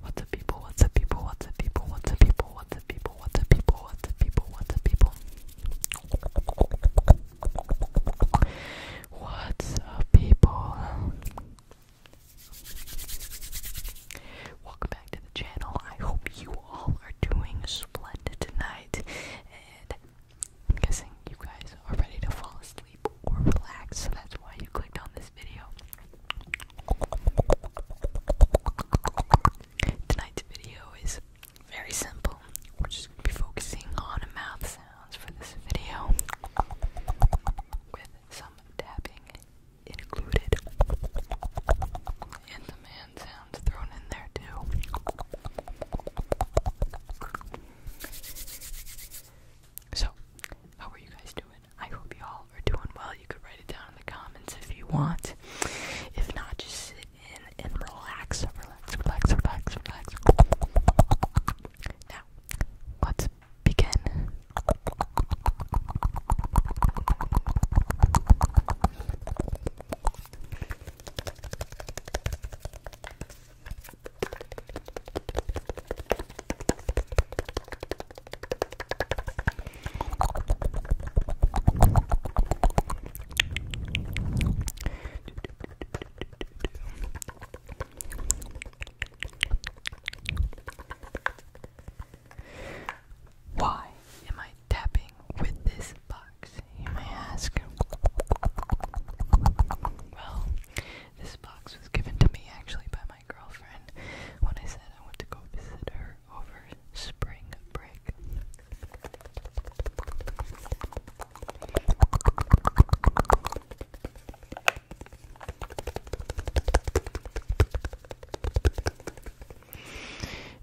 What's up, people? What's up, people? What's up, people? What's up, people? What's up, people? What's up, people? What's up, people? What's up, people? What's up, people? Welcome back to the channel. I hope you all are doing splendid tonight, and guessing you guys are ready to fall asleep or relax, so that's why you clicked on this video. Tonight's video is very simple. We're just going to be focusing on mouth sounds for this video with some tapping included and some hand sounds thrown in there too. So, how are you guys doing? I hope you all are doing well. You could write it down in the comments if you want. If not, just sit in and relax. Relax, relax, relax, relax. Now, let's begin. Why am I tapping with this box? You may ask. Well, this box was given to me actually by my girlfriend when I said I want to go visit her over spring break.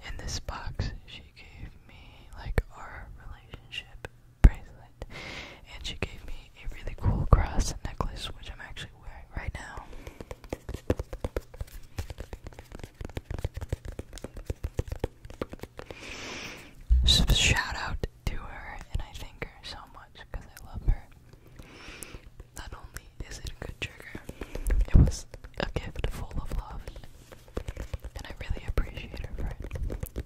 In this box, she gave me like our relationship bracelet. And she gave me a really cool cross necklace, which I'm actually wearing right now. shout out to her, and I thank her so much because I love her. Not only is it a good trigger, it was a gift full of love, and I really appreciate her for it.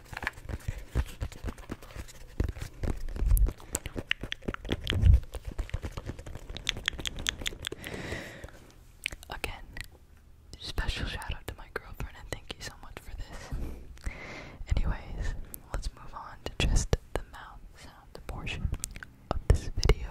Again, special shout out to my girlfriend and thank you so much for this. Anyways, let's move on to just the mouth sound portion of this video.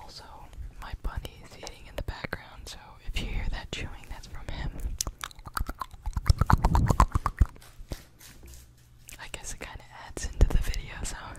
Also, my bunny is eating in the background, so if you hear that chewing, that's from him. I guess it kind of adds into the video sound.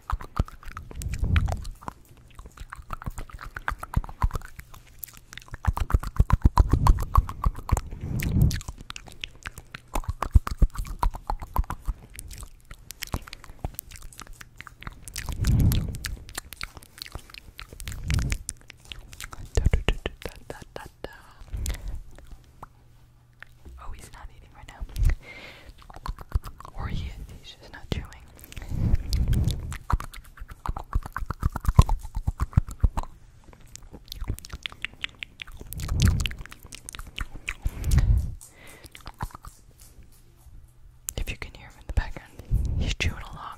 Oh, he's not eating right now. Or he is. He's She's chewing. If you can hear him in the background, he's chewing along.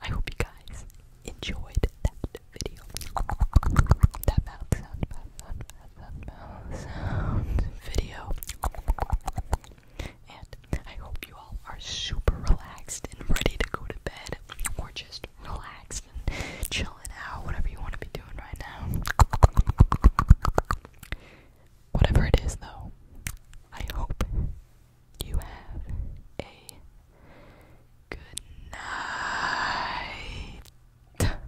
I hope you guys enjoyed that video. That mouth sound, mouth sound, mouth sound, mouth sound video. And I hope you all are super relaxed and ready to go to bed or just relax chilling out, whatever you want to be doing right now. Whatever it is, though, I hope you have a good night.